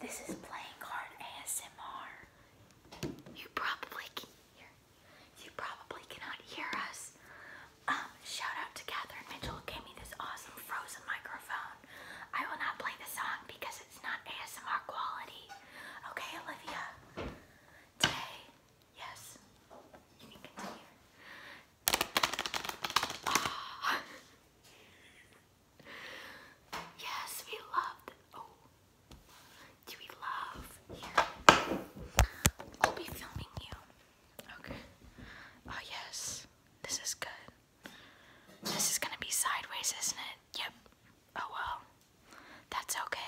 This is playing card ASMR. You probably can hear. You probably cannot hear us. Um, shout out to Catherine Mitchell gave me this awesome frozen microphone. I will not play the song because it's not ASMR quality. Okay, Olivia. Today, yes. Yes, we loved. Oh, do we love you? I'll be filming you. Okay. Oh yes, this is good. This is gonna be sideways, isn't it? Yep. Oh well, that's okay.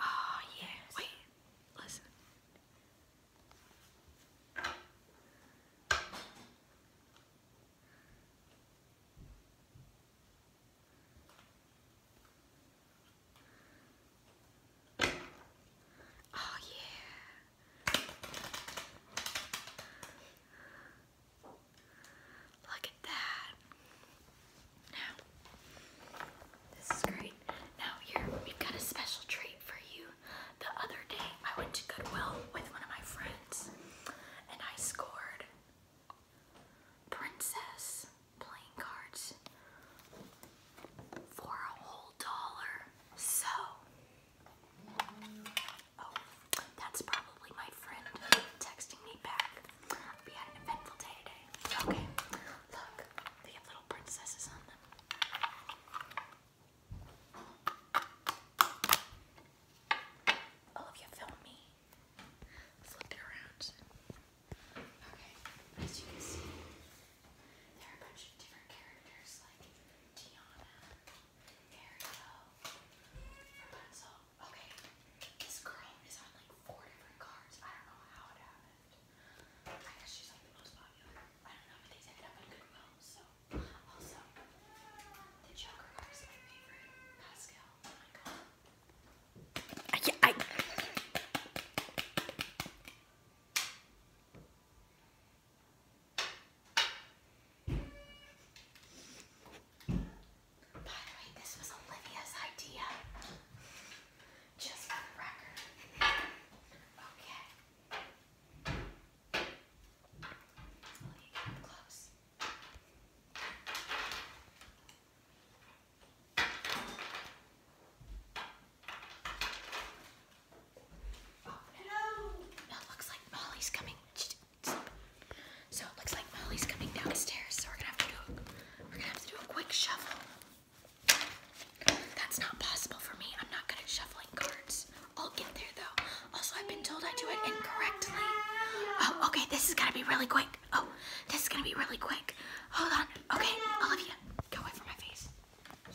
Oh, ah, yeah. Wait, listen. Oh, yeah. Look this is great. Now here, we've got a special treat for you. The other day, I went to Goodwill with one of my friends, and I scored princess playing cards for a whole dollar. So, oh, that's probably my friend texting me back. We had an eventful day today. Okay, Look, they have little princesses on them. Olivia, oh, film me. Flipped it around. Okay, as you can see, there are a bunch of different characters like Tiana, Ariel, Rapunzel, okay, this girl is on like four different cars. I don't know how it happened. I guess she's like the most popular. I don't know, but these ended up in Goodwill, so. Also, the Joker card is my favorite. Pascal, oh my god. By the way, this was Olivia's idea. Just for the record. Okay. Olivia, get close. Oh, It looks like Molly's coming. So it looks like Molly's coming downstairs, so we're gonna have to do we a quick shuffle. That's not possible for me. I'm not good at shuffling cards. I'll get there though. Also, I've been told I do it incorrectly. okay, this is gonna be really quick. Oh, this is gonna be really quick. Hold on. Okay, Olivia, go away from my face. You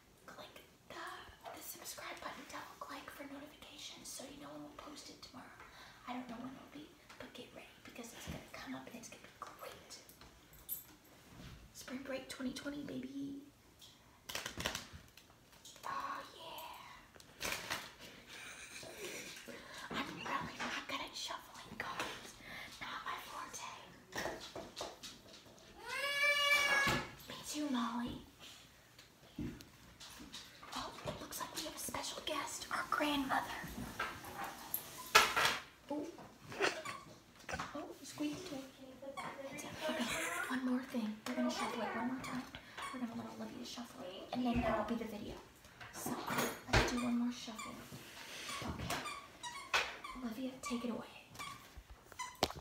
click the, the subscribe button, double click for notifications so you know when we'll post it tomorrow. I don't know when it'll be, but get ready because it's going to come up and it's going to be great. Spring break 2020, baby. Oh, yeah. I'm really not good at shuffling cards. Not my forte. Me too, Molly. Oh, it looks like we have a special guest, our grandmother. Oh, oh squeaked Okay, one more thing. We're going to shuffle it one more time. We're going to let Olivia shuffle it, and then that will be the video. So, let's do one more shuffle. Okay. Olivia, take it away.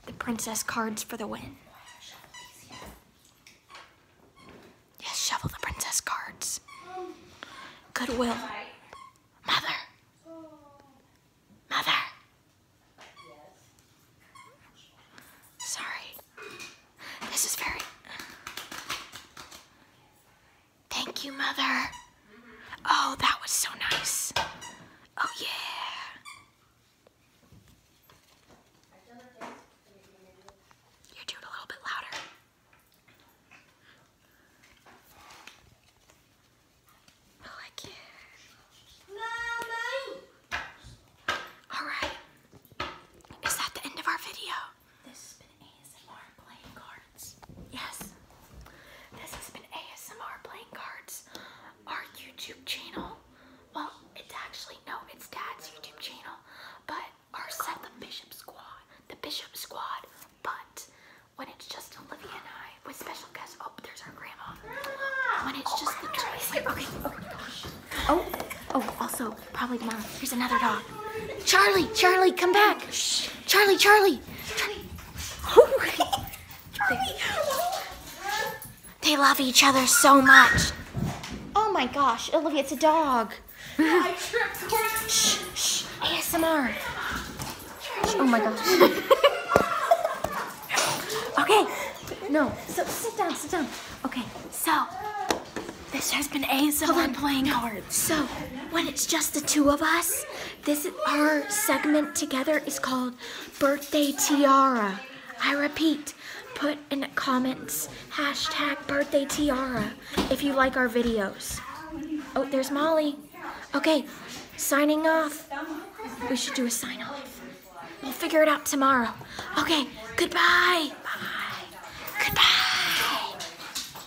The princess cards for the win. Yes, shovel the princess cards. Goodwill. Mother. Mother. Sorry. This is very... Thank you, Mother. Oh, that was so nice. Oh, yeah. You do it a little bit louder. I like it. Alright. Is that the end of our video? Yes, this has been ASMR Playing Cards, our YouTube channel. Well, it's actually, no, it's Dad's YouTube channel, but our set, Bishop Squad, the Bishop Squad, but when it's just Olivia and I, with special guests, oh, there's our grandma. When it's just oh, the Tracy, okay, okay, gosh. Oh, oh, also, probably tomorrow, here's another dog. Charlie, Charlie, come back. Shh. Charlie, Charlie, Charlie. They love each other so much. Oh my gosh, Olivia, it's a dog. I tripped shh, shh, ASMR. Oh my gosh. okay, no, so sit down, sit down. Okay, so this has been ASMR playing hard. So when it's just the two of us, this our segment together is called Birthday Tiara. I repeat, put in the comments hashtag Birthday Tiara if you like our videos. Oh, there's Molly. Okay, signing off. We should do a sign off. We'll figure it out tomorrow. Okay, goodbye. Bye. Goodbye.